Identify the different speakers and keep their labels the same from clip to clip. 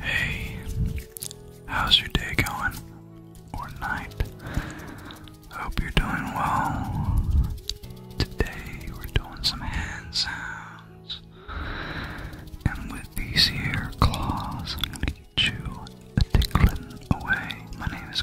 Speaker 1: Hey, how's your day going? Or night? Hope you're doing well. Today we're doing some hand sounds. And with these here claws, I'm gonna get you a tickling away. My name is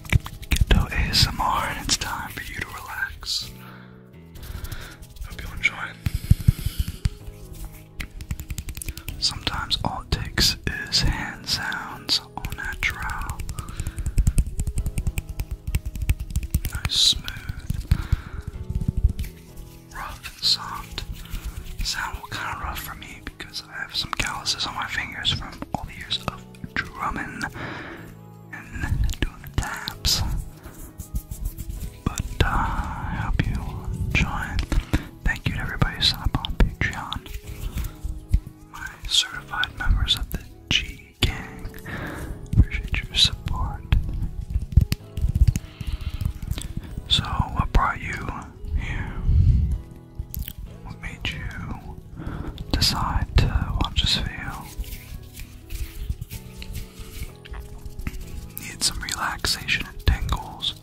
Speaker 1: Ghetto ASMR, and it's time for you to relax. Hope you enjoy. Sometimes all it takes is hand sounds, all natural. Nice, smooth, rough and soft. Sound will kind of rough for me because I have some calluses on my fingers from all the years of drumming and doing the taps. But uh, I hope you enjoy. Thank you to everybody who signed up on Patreon. My certified members of the G Gang. Appreciate your support. So, what brought you here? What made you decide to watch this video? Need some relaxation and tingles.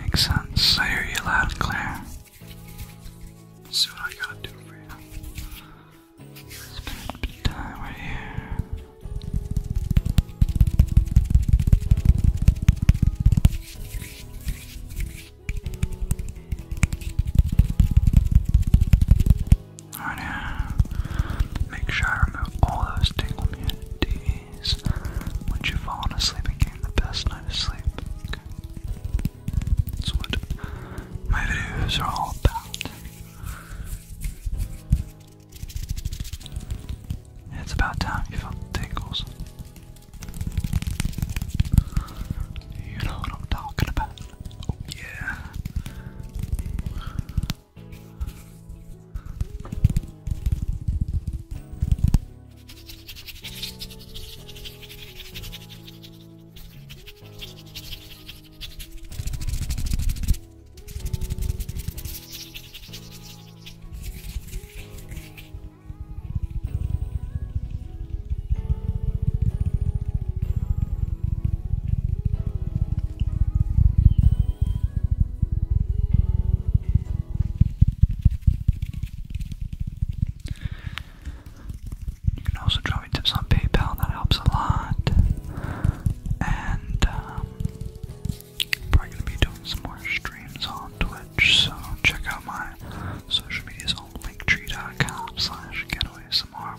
Speaker 1: Makes sense. I hear you loud and clear. see what I gotta do for you. spend a bit of time right here make sure I remove all those tingle d's once you've fallen asleep and gained the best night of sleep. Okay. That's what my videos are all about. It's about time you felt the tingles. You know what I'm talking about. Oh, yeah. You can also drop me tips on PayPal, that helps a lot. And um, probably gonna be doing some more streams on Twitch, so check out my social medias on linktree.com slash getaway some more.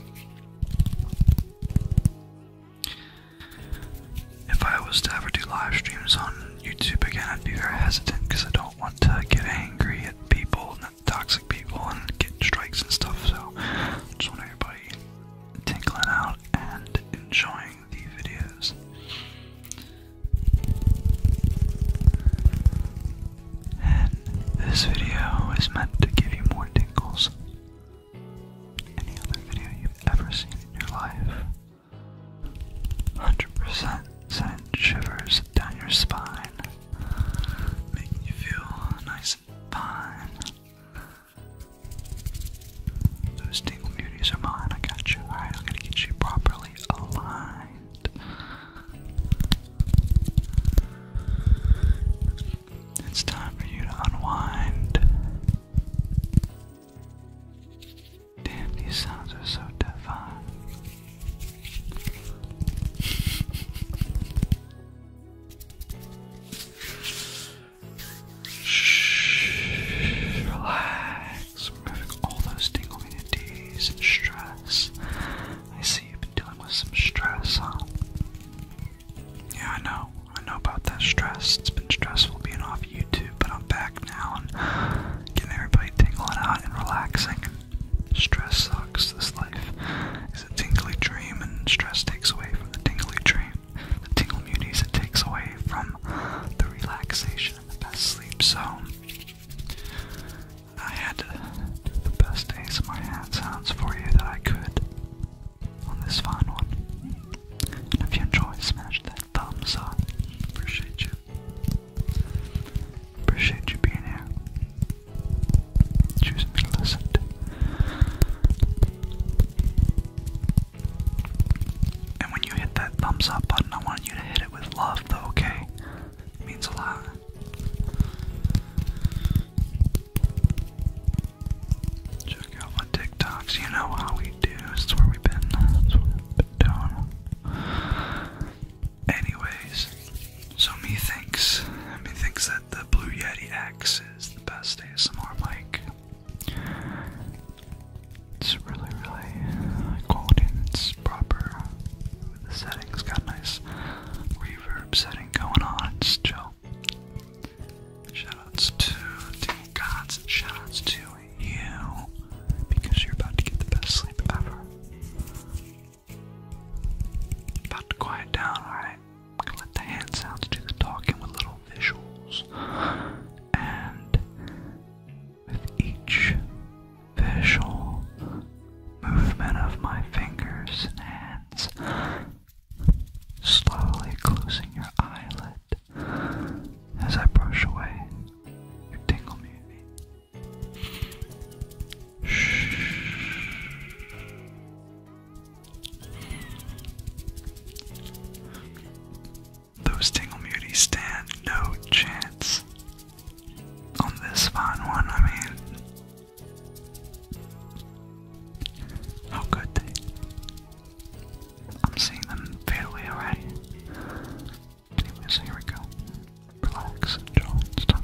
Speaker 1: If I was to ever do live streams on YouTube again, I'd be very hesitant because I don't want to get angry at people, not toxic people, and get strikes and stuff. So, just want everybody tinkling out and enjoying the videos. And this video is meant to give you more tingles any other video you've ever seen in your life. 100% send shivers down your spine, making you feel nice and fine. Those tingle beauties are mine, I got you. Alright, I'm gonna get you properly. It's time for you to unwind. these sounds are so divine. Shh, all those tingling ideas and stress. I see you've been dealing with some stress, huh? Yeah, I know. I know about that stress. It's been stressful being off YouTube, but I'm back now and getting everybody tingling out and relaxing. Stress sucks. This life is a tingly dream, and stress takes away from the tingly dream. The tingle muties it takes away from the relaxation and the best sleep. So I had to do the best ASMR hand sounds for you that I could on this fine one. if you enjoyed, smash that thumbs up. Appreciate you. Appreciate you being here. Choosing to listen And when you hit that thumbs up button, I want you to hit it with love, though, okay? means a lot. Check out my TikToks, you know how we do. It's where we've been, that's what we've been doing. Anyways, so me thinks, that the Blue Yeti X is the best ASMR mic. It's really, really high it's proper. The settings got a nice reverb setting going on. It's Shoutouts to the gods shoutouts to you because you're about to get the best sleep ever. About to quiet down, alright? Let the hand sounds do the talking with little visuals. And with each visual movement of my fingers and hands, slowly closing your eyelid as I brush away your tingle music. Shh. Those Tingle Muties stand no chance on this fine one, I mean. How could they? I'm seeing them fade away already. Anyways, here we go. Relax, Joel. It's time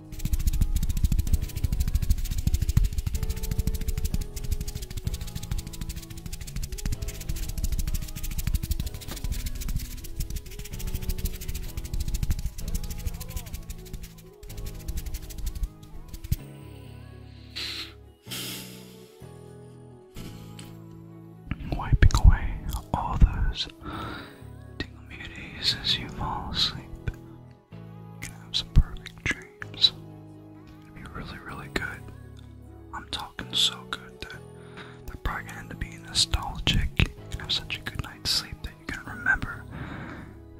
Speaker 1: Wiping away all those tingling beauties as you fall asleep. You can have some perfect dreams. It'll be really, really good. I'm talking so good that they're probably gonna end up being nostalgic. You can have such a good night's sleep that you're gonna remember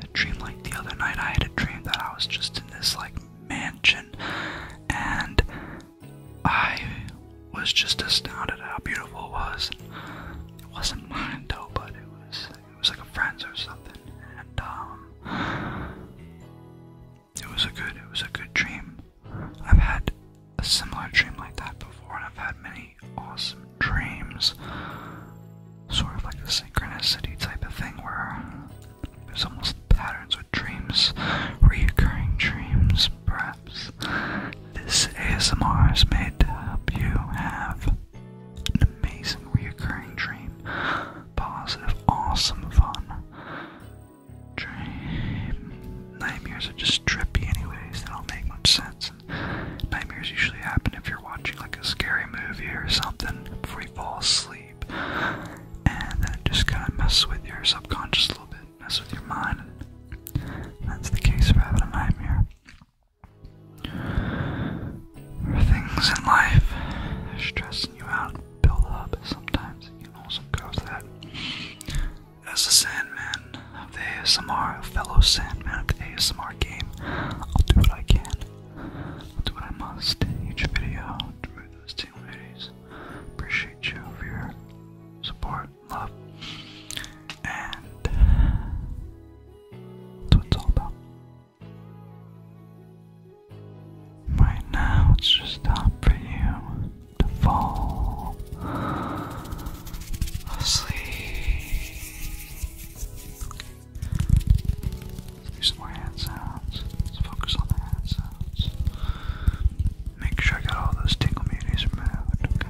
Speaker 1: a dream like the other night. I had a dream that I was just in this like mansion and I was just astounded how beautiful it was. It wasn't mine though, but it was it was like a friend's or something, and um, it was a good, it was a good dream. I've had a similar dream like that before, and I've had many awesome dreams, sort of like a synchronicity type of thing where there's almost patterns with dreams, reoccurring dreams, perhaps. This ASMR is made to help you have an amazing reoccurring dream. Positive, awesome fun. Dream. Nightmares are just trippy, anyways. They don't make much sense. nightmares usually happen if you're watching like a scary movie or something before you fall asleep. And then just kind of messes with your subconscious a little bit, messes with your mind. that's the case of having a nightmare. Or things in life stressing you out and build up. Sometimes you know, some girls that. As a Sandman of the ASMR, fellow Sandman of the ASMR game, I'll do what I can. I'll do what I must in each video to move those two ladies. Appreciate you for your support, love, and that's what it's all about. Right now, it's just time for you to fall asleep. let more hand sounds. Let's focus on the hand sounds. Make sure I got all those tingle muties removed.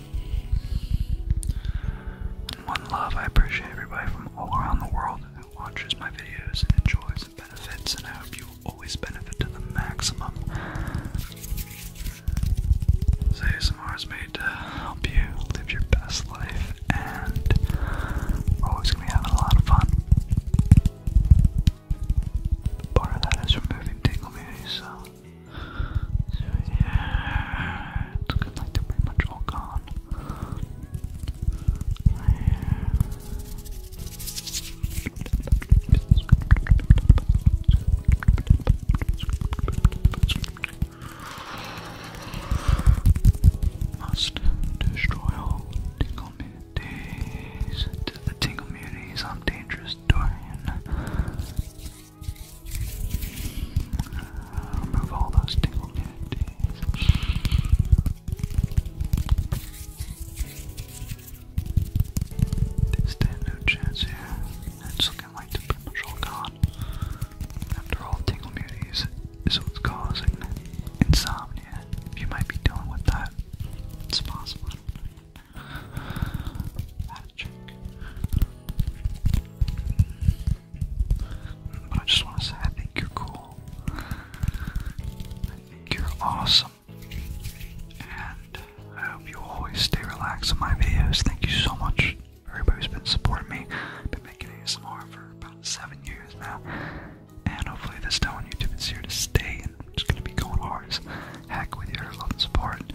Speaker 1: One love, I appreciate everybody from all around the world who watches my videos and enjoys and benefits, and I hope you always benefit to the maximum. So ASMR is made to help you live your best life, and we're always going to be having a lot of fun. part of that is removing tingle beauty, so yeah, it's good they're pretty much all gone. Must destroy all tingle the tingle muties, I'm dangerous, Dorian. Remove all those tingle cavities. They no chance here. It's looking like the potential gone. After all, tingle muties is what's causing insomnia. You might be dealing with that. It's possible. But I just want to say I think you're cool. I think you're awesome. And I hope you always stay relaxed in my videos. Thank you so much everybody who's been supporting me. I've been making ASMR for about seven years now. And hopefully this time on YouTube is here to stay and I'm just gonna be going hard as heck with your love and support.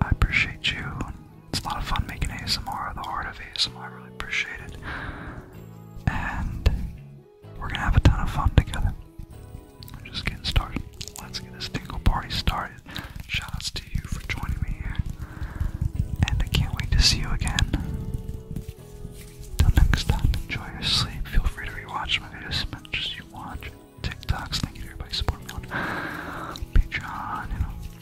Speaker 1: I appreciate you. It's a lot of fun making ASMR, the art of ASMR. I really appreciate it. And we're gonna have a ton of fun together. We're just getting started. Let's get this tingle party started. Shoutouts to you for joining me here. And I can't wait to see you again. Till next time, enjoy your sleep. Feel free to rewatch my videos as much as you watch. TikToks, thank you to everybody supporting me on Patreon, you know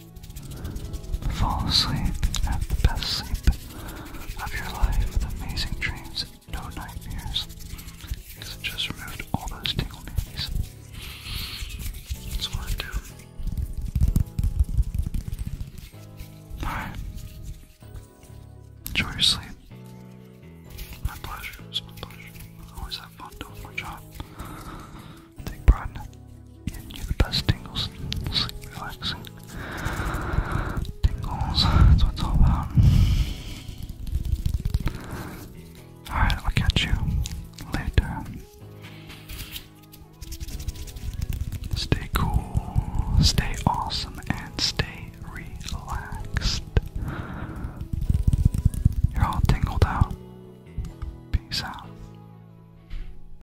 Speaker 1: Fall asleep have the best sleep of your life with amazing dreams and no nightmares. Because it just removed all those tingle That's what I do. Alright. Enjoy your sleep. My pleasure. It's I always have fun doing my job. Take pride Getting you the best tingles, sleep relaxing. Tingles, that's what it's all about. Alright, I'll catch you later. Stay cool, stay awesome, and stay relaxed. You're all tingled out. Peace out.